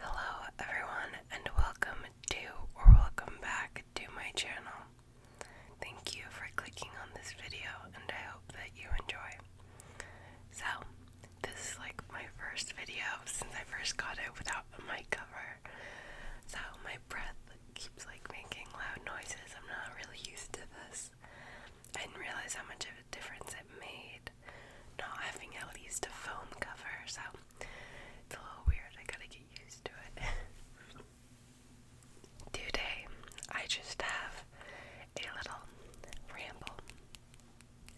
Hello, everyone, and welcome to or welcome back to my channel. Thank you for clicking on this video, and I hope that you enjoy. So, this is like my first video since I first got it without a mic cover. So, my breath keeps like making loud noises. I'm not really used to this. I didn't realize how much of a difference it made not having at least a foam cover, so it's a little weird. I gotta get used to it. Today, I just have a little ramble,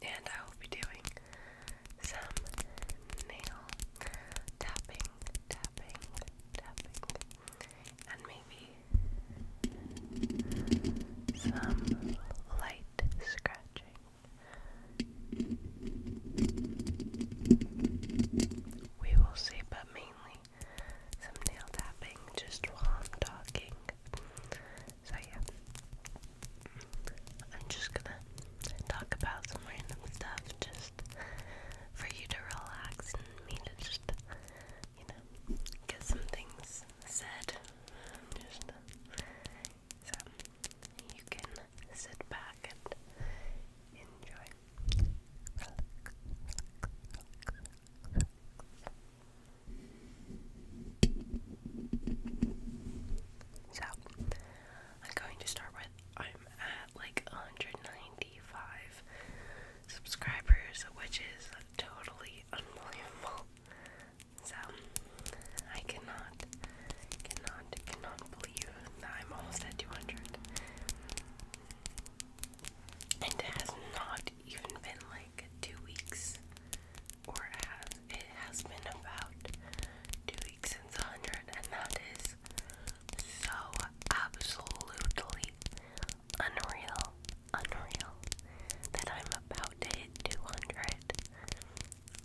and I will be doing some nail tapping, tapping, tapping, and maybe some light scratching. We will see, but mainly some nail tapping just while I'm talking. So, yeah. I'm just gonna talk about some random stuff just for you to relax and me to just, you know, get some things said. Just so you can sit back and enjoy. So I'm going to start with I'm at like 195 subscribers, which is totally unbelievable. So I cannot, cannot, cannot believe that I'm almost at 200. And it has not even been like two weeks, or it has, it has been about two weeks since 100, and that is so absolutely unreal, unreal that I'm about to 200.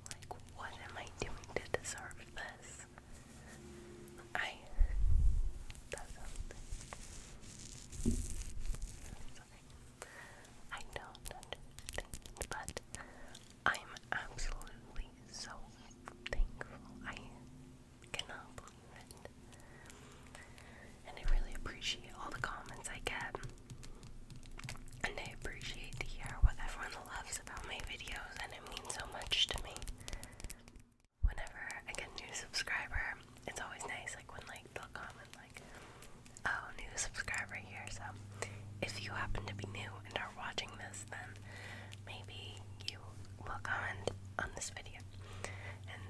Like, what am I doing to deserve this? I I don't but I'm absolutely so thankful. I cannot believe it. And I really appreciate all the comments I get. And I appreciate to hear what everyone loves about my videos, and it means so much to me. Whenever I get a new subscriber, it's always nice, like when like they'll comment like, "Oh, new subscriber here." So, if you happen to be new and are watching this, then maybe you will comment on this video and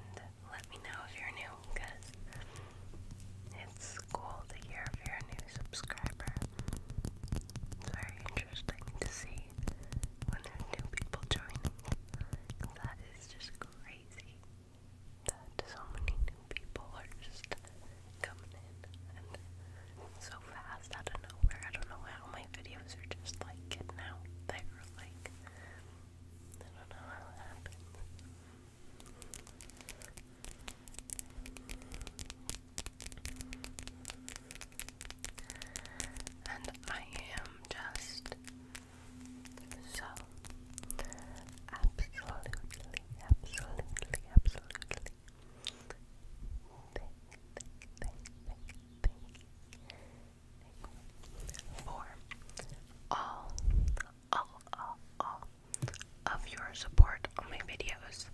let me know if you're new because it's cool to hear if you new subscriber. It's very interesting to see when new people joining. That is just crazy that so many new people are just coming in and so fast out of nowhere. I don't know how my videos are just like getting out there. Like, I don't know how it happens. And I am just so absolutely, absolutely, absolutely thank, thank, for all, all, all of your support on my videos.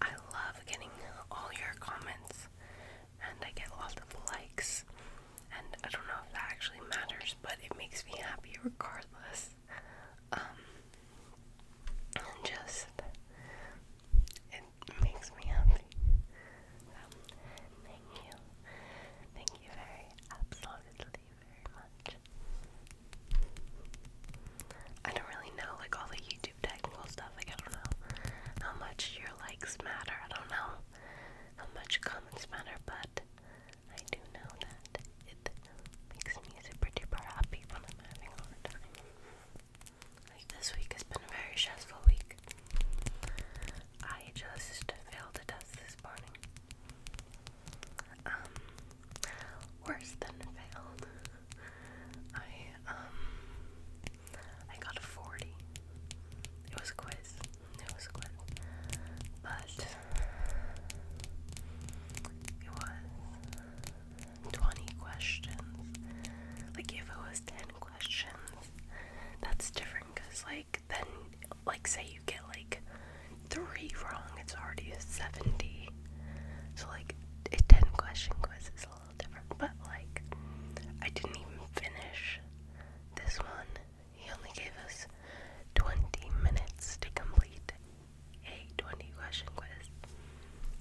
I love getting all your comments and I get lots of likes and I don't know if that actually matters but it makes me happy regardless. Um just it makes me happy. So um, thank you. Thank you very absolutely I don't really know, like all the YouTube technical stuff, like I don't know how much your likes matter. I don't know how much comments matter, but I do know that it makes me super duper happy when I'm having a time. Like this week has been a very stressful week. I just failed a test this morning. Um, worse than failed. I, um, I got 40. It was a quiz. It was a quiz. But, it was 20 questions. Like, if it was 10 questions, that's different because, like, like then like say you get like three wrong, it's already a seventy. So like a ten question quiz is a little different. But like I didn't even finish this one. He only gave us twenty minutes to complete a twenty question quiz.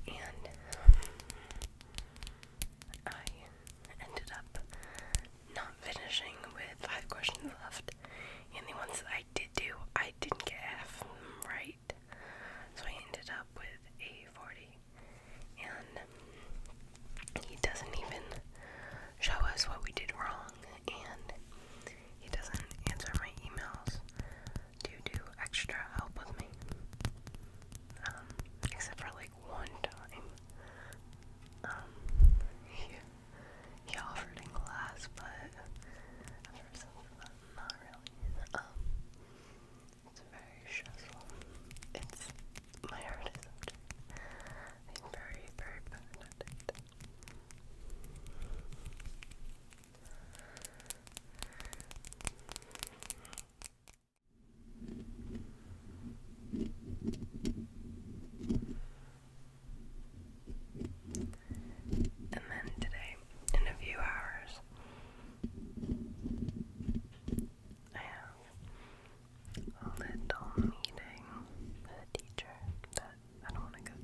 And I ended up not finishing with five questions left and the ones that I did do, I didn't get half right. So I ended up with a 40. And he doesn't even show us what we did wrong, and he doesn't answer my emails to do extra help with me. Um, except for like one time. Um, he offered in class, but not really. Um, it's very stressful. my heart is very, very paranoid. And then today, in a few hours, I have a little meeting with a teacher that I don't want to go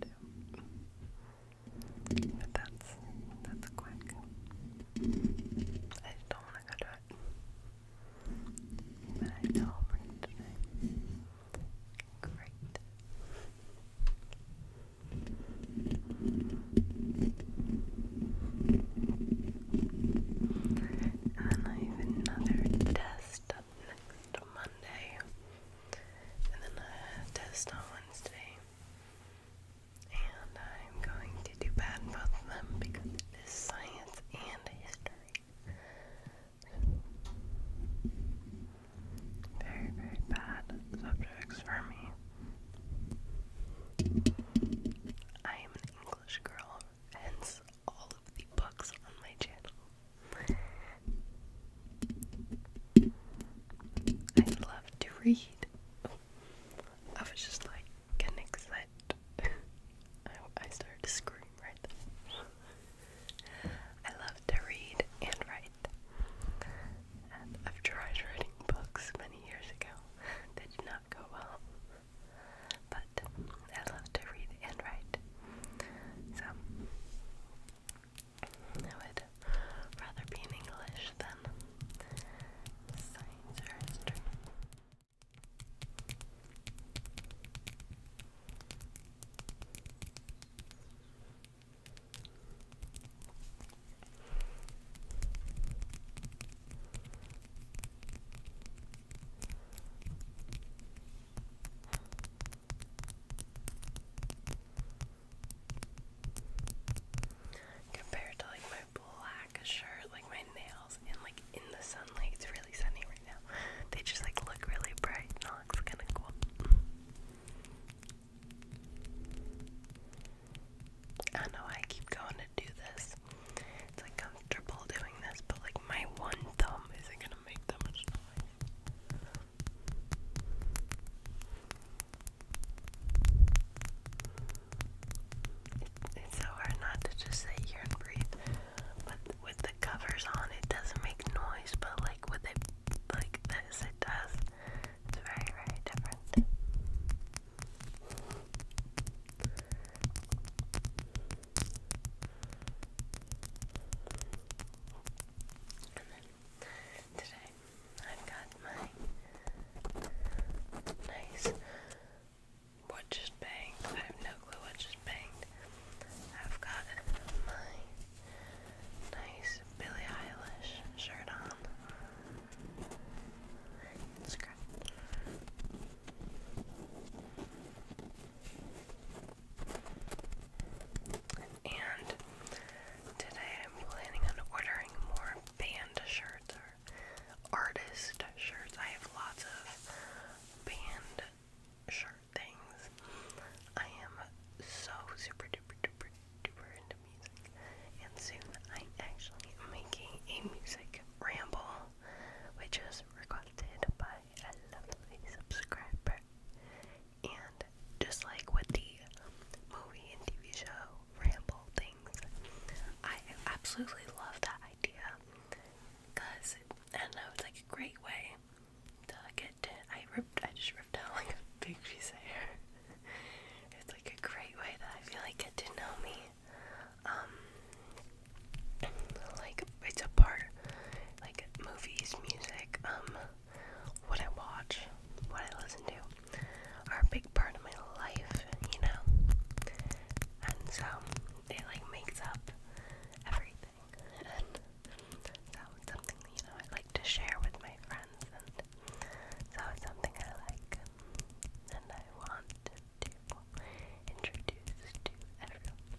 to. But that's that's quick. I just don't want to go to it. But I know I'm today. Great. And I have another test next Monday, and then a test on Wednesday. And I'm going to do bad in both of them because it is science and history. Very, very bad subjects for me. I am an English girl, hence all of the books on my channel. I love to read. I was just like getting excited. I, I started to scream right then. I love to read and write. I've tried writing books many years ago. They did not go well. But I love to read and write. So I would rather be in English than science or history. Compared to like my black shirt, like my nails, and like in the sunlight, it's really sunny they just like look really bright and looks kinda cool. I know I keep going to do this. It's like comfortable doing this, but like my one thumb isn't gonna make that much noise. It's so hard not to just sit here and breathe, but with covers on, it doesn't make noise, but like with it like this, it does. It's very, very different. And then today I've got my nice watch bang glue I just I've got my nice Billie Eilish shirt on. It's great. And today I'm planning on ordering more band shirts or artist shirts. I have lots of band shirt things. I am so super duper duper duper into music, and soon I actually am making a music ramble, which is requested by a lovely subscriber. And just like with the movie and TV show ramble things, I absolutely love that idea because I don't know, it's like a great way delicate. I ripped. I just ripped out like a big piece of hair. it's like a great way that I feel like get to know me. Um, like it's a part, like movies, music, um, what I watch, what I listen to, are a big part of my life. You know, and so it like makes up everything and that was something you know I like to share with my friends, and so it's something I like, and I want to introduce to everyone.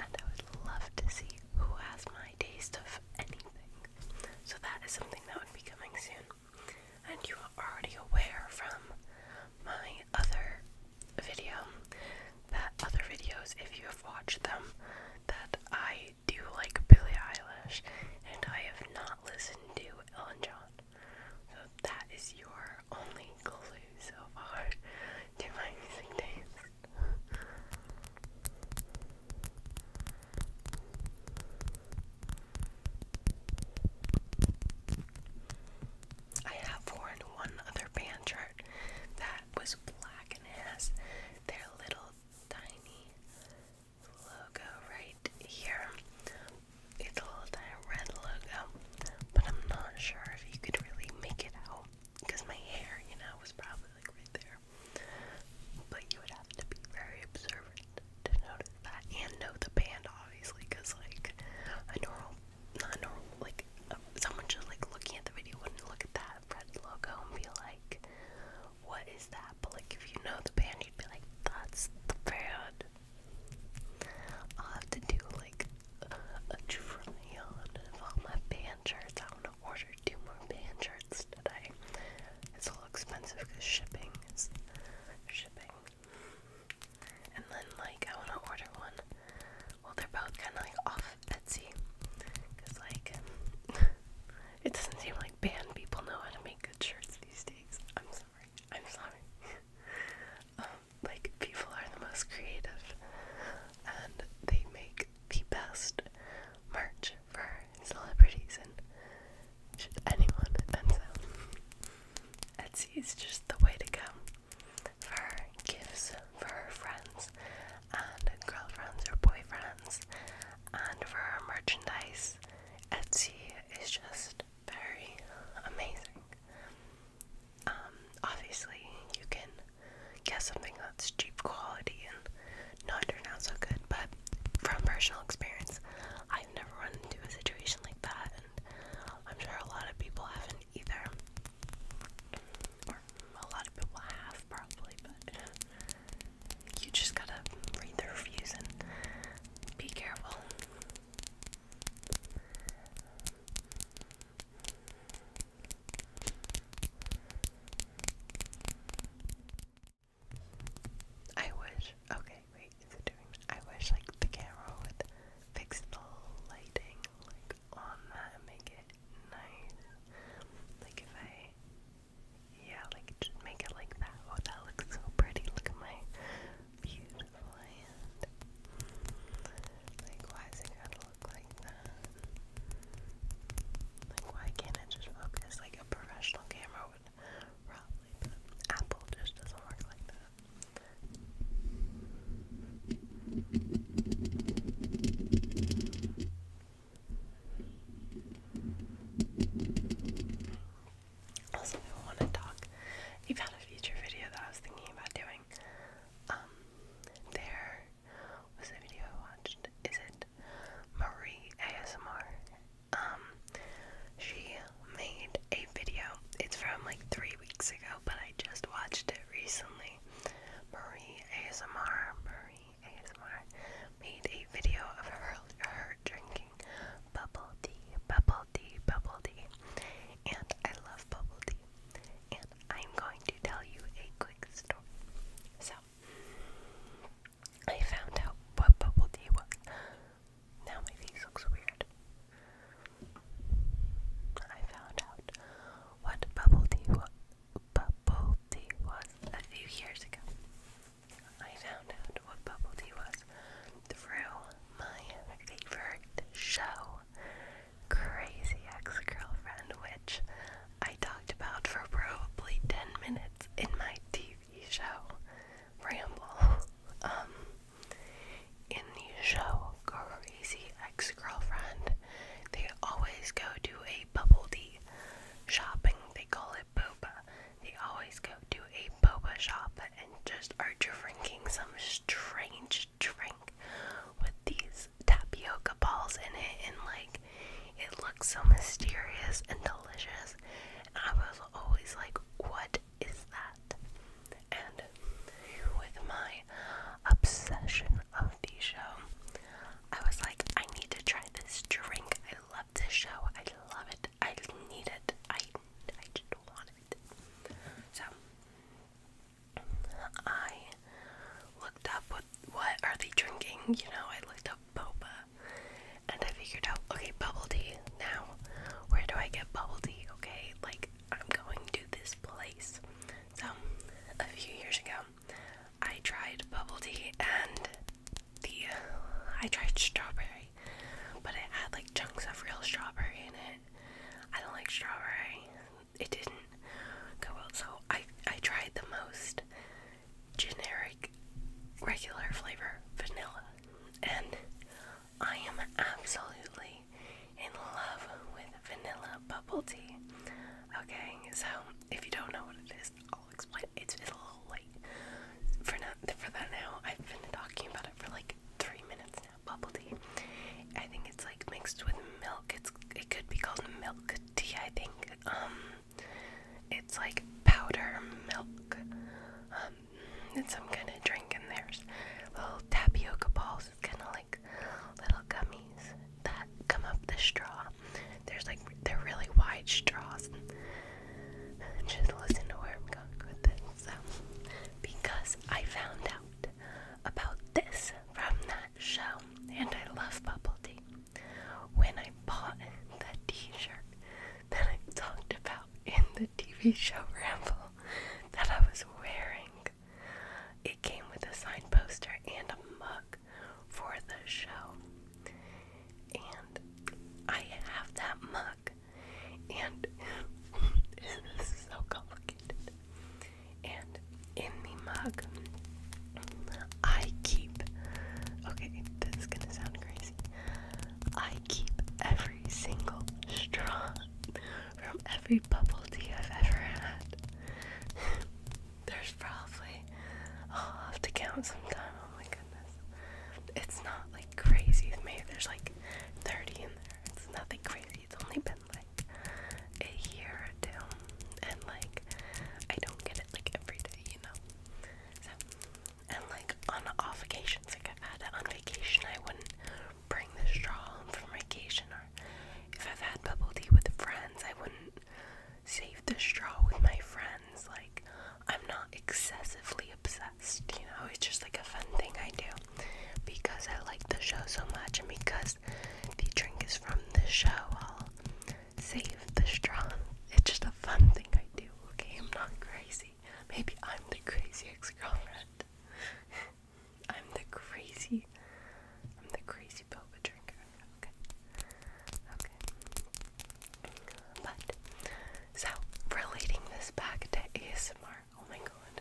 And I would love to see who has my taste of anything. So that is something that would be coming soon. And you are already aware from my other video that other videos if you have watched them that I do like Billie Eilish and I have not listened to Ellen John. So that is your only clue so far to my music taste. I have worn one other band track that was black and has their little tiny logo right here. It's a little tiny red logo, but I'm not sure if you could really make it out because my hair, you know, was probably like right there. But you would have to be very observant to notice that and know the band, obviously, because like a normal not normal. Like uh, someone just like looking at the video wouldn't look at that red logo and be like, "What is that?" But like if you know the band, you'd be like, "That's the band." I'll have to do like a, a trial of all my band shirts. I want to order two more band shirts today. It's a little expensive because shipping is shipping. And then like I want to order one well, they're both kind of like off Etsy. Because, like, it doesn't seem like band people know how to make good shirts these days. I'm sorry. I'm sorry. Um, like, people are the most creative. And they make the best merch for celebrities and anyone. And so, Etsy is just the way to go for gifts for her friends and girlfriends or boyfriends, and for her merchandise. Etsy is just very amazing. Um, obviously, you can get something that's cheap quality and not turn out so good, but from personal experience, I've never run into a situation like that, and I'm sure a lot of people haven't either a lot of people have probably, but you just gotta read the reviews and be careful. I wish, okay, wait, is it doing, I wish like the camera would fix the lighting, work on that make it nice. Like if I, yeah, like make it like that. Oh, that looks so pretty. Look at my beautiful hand. Like it gotta look like that? Like why can't it just focus? Like a professional camera would probably, Apple just doesn't work like that. Also, I want to talk about a future video that I was thinking about doing. Um, there was a video I watched. Is it Marie ASMR? Um, she made a video. It's from like three weeks ago, but I just watched it recently. Marie ASMR, Marie ASMR made a video of her, her drinking bubble tea, bubble tea, bubble tea. And I love bubble tea. And I'm going to tell you a quick story. So, I found out what bubble tea was. Now my face looks weird. I found out what bubble tea was. a few years ago. I found out what bubble tea was through my favorite show, Crazy Ex Girlfriend, which I talked about for probably 10 minutes in my TV show ramble. Um, in the show Crazy Ex Girlfriend, they always go to a bubble tea shopping. They call it boba. They always go to a boba shop and just are drinking some strange drink with these tapioca balls in it, and like it looks so mysterious and delicious. And I was always like, what what is that? And with my obsession of the show, I was like, I need to try this drink. I love this show. I love it. I need it. I, I just want it. So, I looked up what, what are they drinking? You know, I looked up boba and I figured out, okay, bubble tea. Now, where do I get bubble tea? Okay, like I'm going to this place. So, a few years ago, I tried bubble tea and the I tried strawberry, but it had like chunks of real strawberry in it. I don't like strawberry. It didn't go well, so I I tried the most generic regular flavor vanilla and I am absolutely in love with vanilla bubble tea. Okay, so if you don't know what it is, I'll explain. It's, it's a little late for not for that now. I've been talking about it for like three minutes now. Bubble tea. I think it's like mixed with milk. It's it could be called milk tea. I think. Um, it's like powder milk. Um, um, it's some kind of drink, and there's little tapioca balls. kind of like little gummies that come up the straw. There's like they're really wide straws. And just listen to where I'm going with this. So, because I found out about this from that show, and I love bubble tea. When I bought the T-shirt that I talked about in the TV show Ramble that I was wearing. It came with a sign poster and a mug for the show. And I have that mug. And this so complicated. And in the mug, I keep. Okay, this is gonna sound crazy. I keep every single straw from every bubble tea I've ever had. There's probably, I'll have to count sometime. Oh my goodness. It's not like crazy. Maybe there's like 30 in there. It's nothing crazy. It's only been like a year or two. And like, I don't get it like every day, you know? So, and like on off occasions, like I've had on vacation, I wouldn't bring the straw home from vacation, if I've had bubble tea with friends, I wouldn't save the straw with my friends. Like, I'm not excessively obsessed, you know, it's just like a fun thing I do because I like the show so much, and because the drink is from the show, I'll save the straw. It's just a fun thing I do, okay? I'm not crazy. Maybe I'm the crazy ex girlfriend. I'm the crazy I'm the crazy boba drinker. Okay. Okay. But so relating this back to ASMR. Oh my god.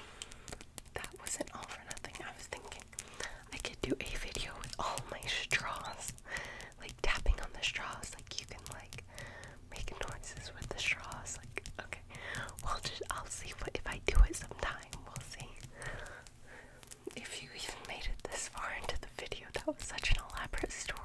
that wasn't all for nothing. I was thinking I could do a video with all my straws. Like tapping on the straws. Like you can like making noises with the straws. Like, okay, well, just I'll see if I do it sometime. We'll see. If you even made it this far into the video, that was such an elaborate story.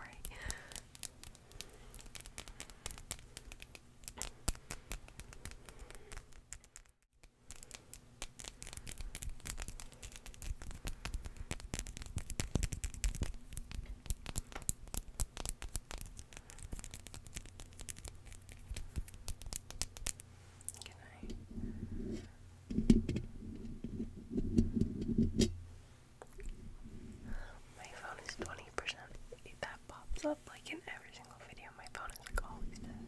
Can I? My phone is 20%. If that pops up like in every single video, my phone is like always dead.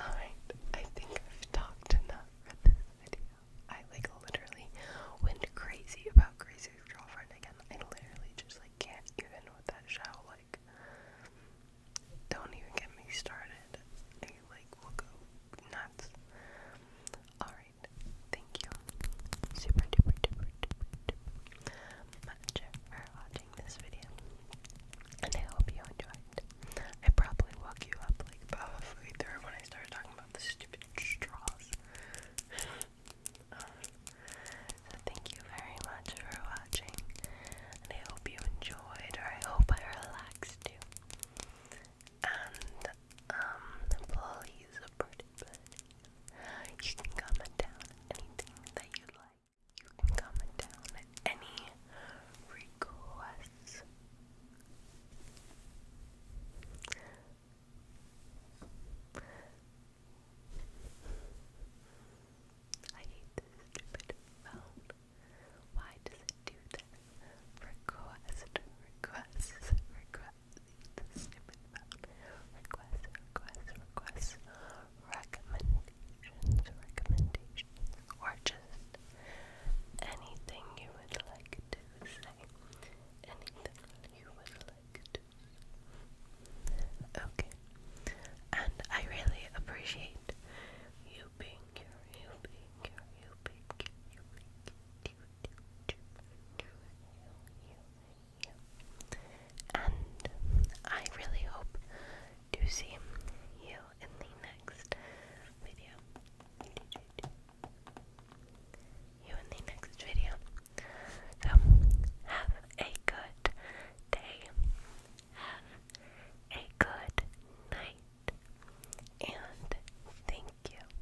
Alright, I think I've talked enough for this video. I like literally went crazy about Crazy Girlfriend again. I literally just like can't even with that show. Like, don't even get me started. I like will go nuts. Alright. Thank you. Super duper duper duper duper much for watching this video. And I hope you enjoyed. I probably woke you up like halfway through when I started talking about the stupid straws. so thank you very much for watching. And I hope you enjoyed or I hope I relaxed you. And um please you can comment down anything that you like. You can comment down any requests. I hate this stupid phone. Why does it do that? Request, requests, requests the Requests, requests, requests, recommendations, recommendations, or just anything you would like to say. Anything you would like to Okay. And I really appreciate you being you being you being you being you, you. And I really hope to see you in the next video. You in the next video. So, have a good day. Have a good night. And thank you.